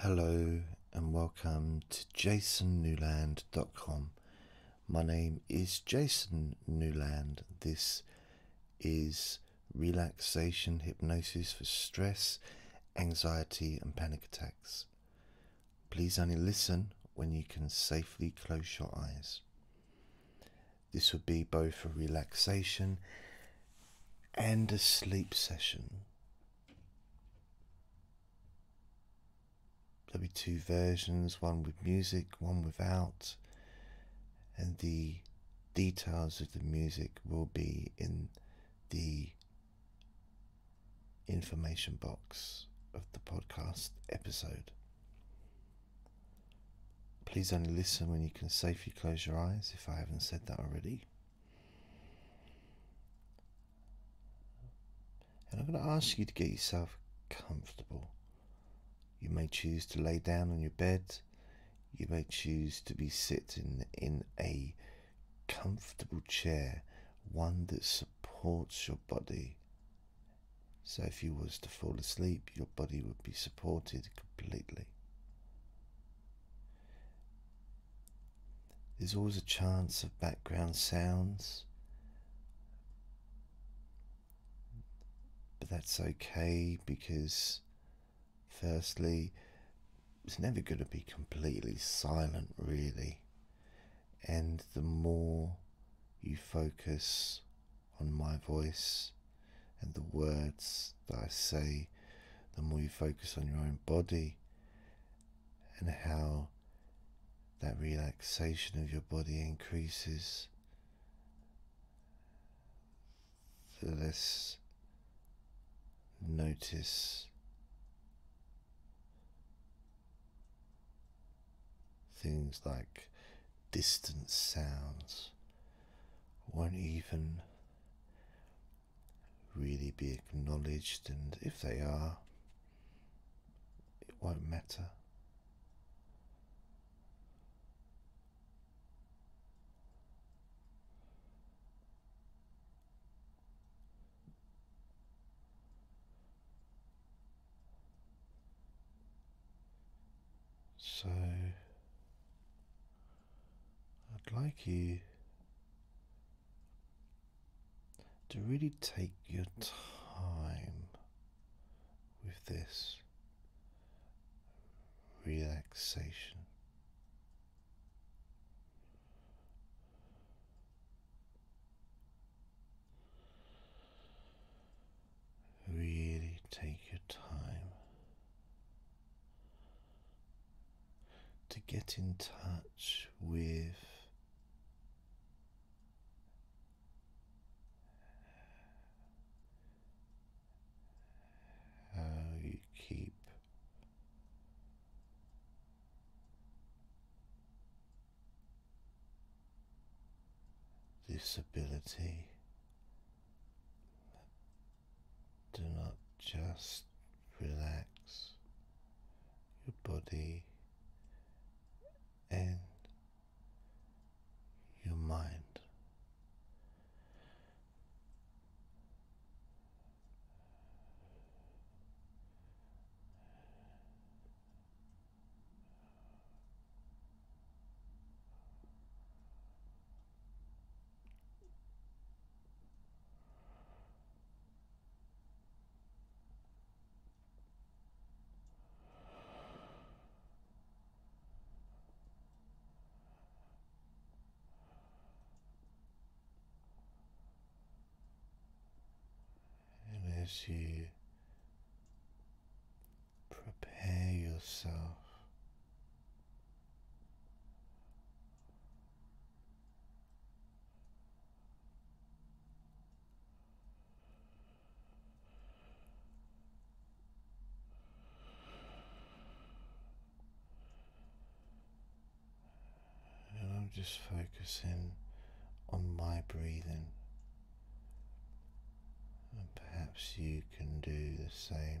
Hello and welcome to jasonnewland.com. My name is Jason Newland. This is relaxation hypnosis for stress, anxiety, and panic attacks. Please only listen when you can safely close your eyes. This would be both a relaxation and a sleep session. There'll be two versions, one with music, one without, and the details of the music will be in the information box of the podcast episode. Please only listen when you can safely close your eyes if I haven't said that already. And I'm going to ask you to get yourself comfortable. You may choose to lay down on your bed. You may choose to be sitting in a comfortable chair, one that supports your body. So if you was to fall asleep, your body would be supported completely. There's always a chance of background sounds, but that's okay because, firstly, it's never going to be completely silent, really. And the more you focus on my voice and the words that I say, the more you focus on your own body and how that relaxation of your body increases, the less notice things like distant sounds won't even really be acknowledged, and if they are, it won't matter. So I'd like you to really take your time with this relaxation. Really take your time to get in touch with how you keep. This ability do not just relax your body and your mind. And as you prepare yourself and I'm just focusing on my breathing. And perhaps you can do the same.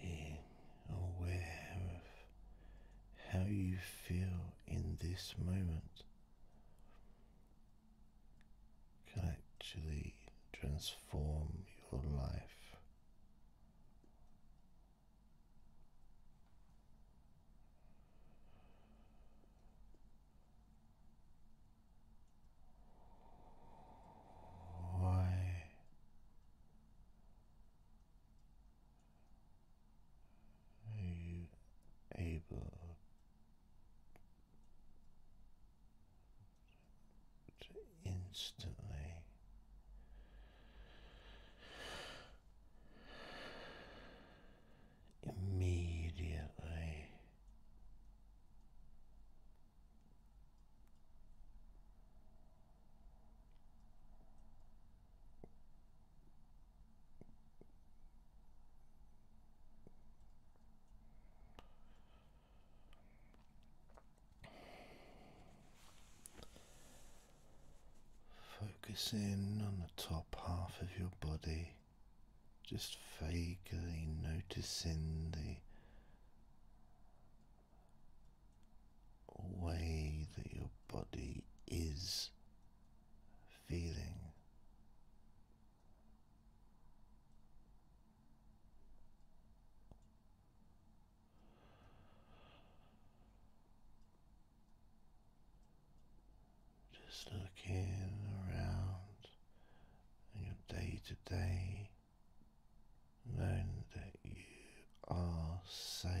Being aware of how you feel in this moment can actually transform your life. Why are you able to instantly immediately Focus in on the top half of your body, just vaguely noticing the way that your body is feeling just looking around in your day to day, knowing that you are safe.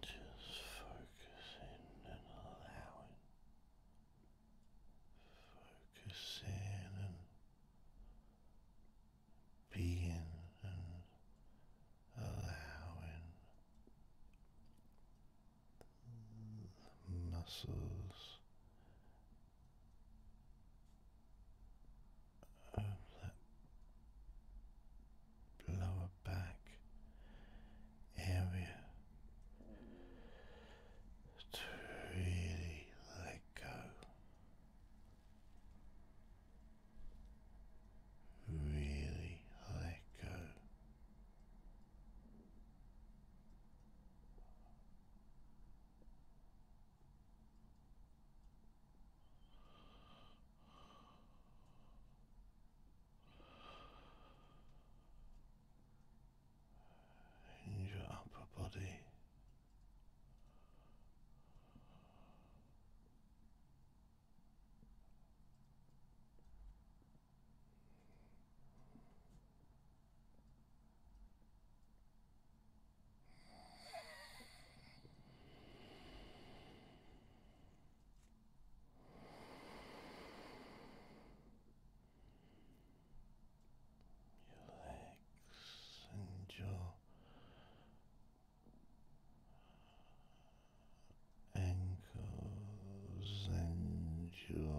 Just focusing and allowing, focusing and being and allowing muscles of that lower back area to really let go. Really let go in your upper body. Your legs and your ankles and your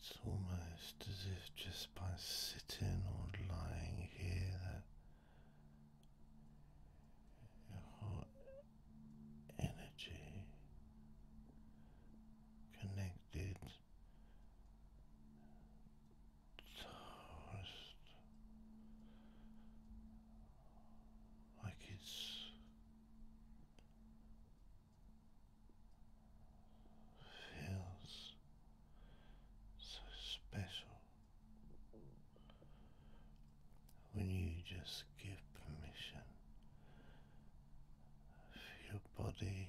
It's almost as if just by sitting or lying here that your heart energy connected toast like it's feels so special when you just give permission for your body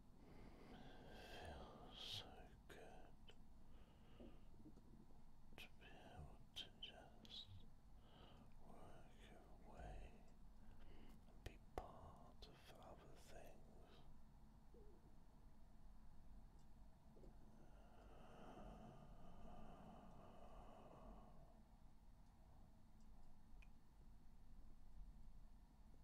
feels so good to be able to just work your way and be part of other things.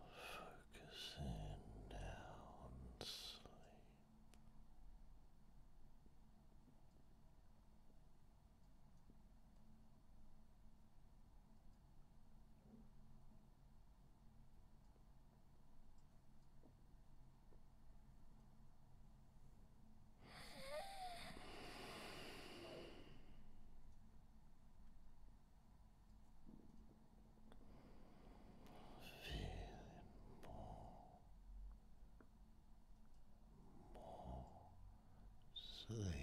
Focus in now on sleep. Feeling more, more sleepy.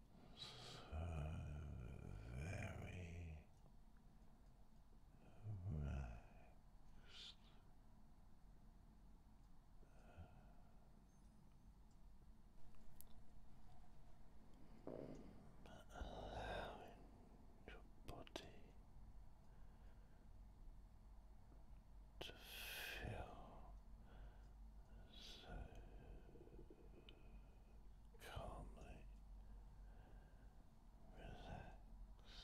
relaxed. Allowing your body to feel so calmly relaxed.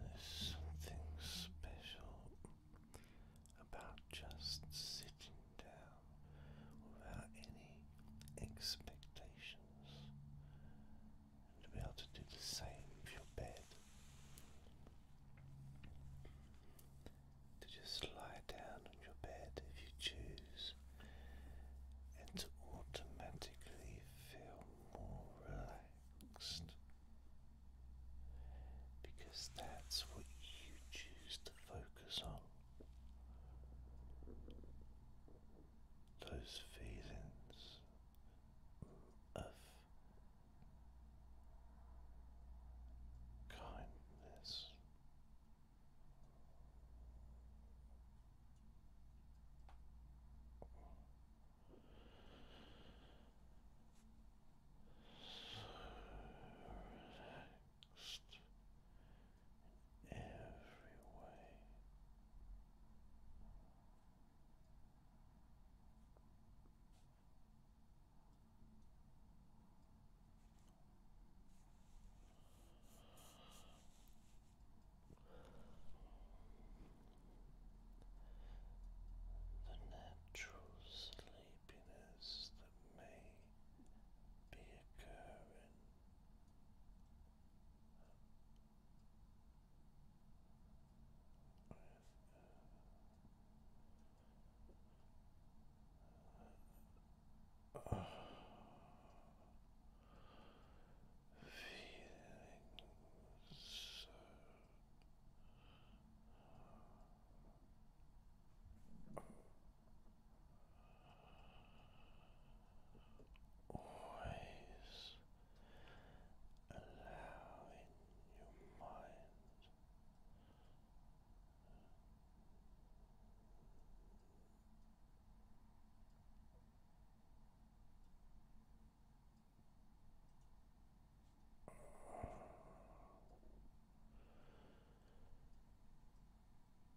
There's something special about just sitting down without any expectations, and to be able to do the same with your bed. To just lie down on your bed if you choose, and to automatically feel more relaxed. Because that's what you choose to focus on those feelings of kindness. So every way. The natural sleepiness that may be occurring Feeling so Always allowing your mind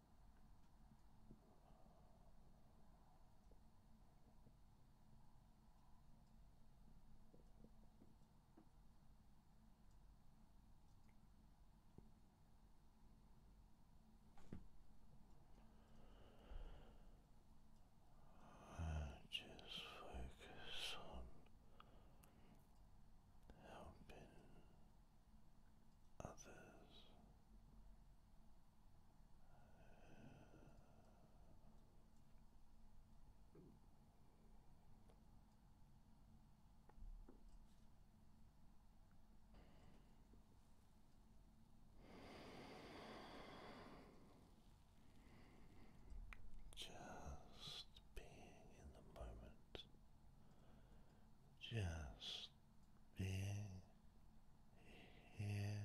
And just focus on helping others. Just being in the moment just being here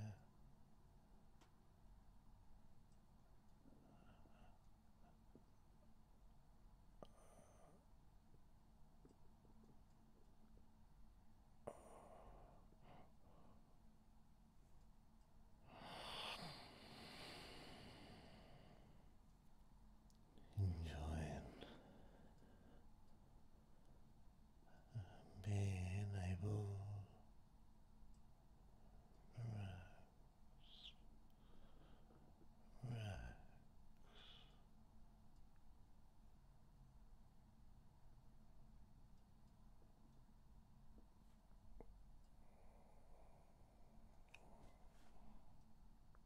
enjoying being able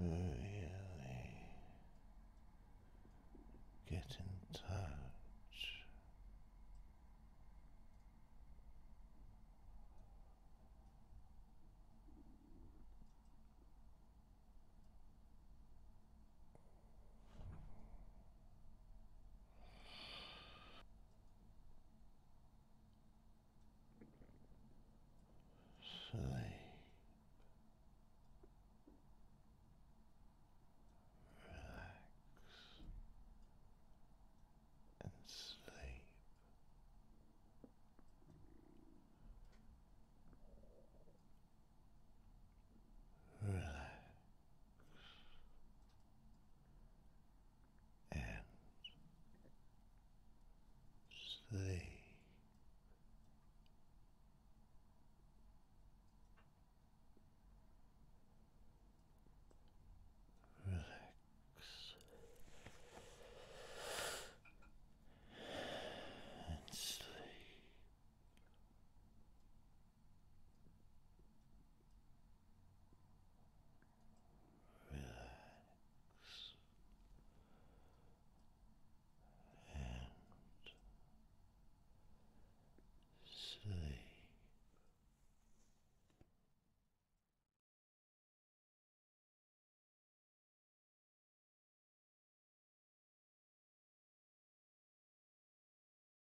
Really get in touch Sleep. Relax and sleep. Relax and sleep. Relax. And sleep relax and sleep.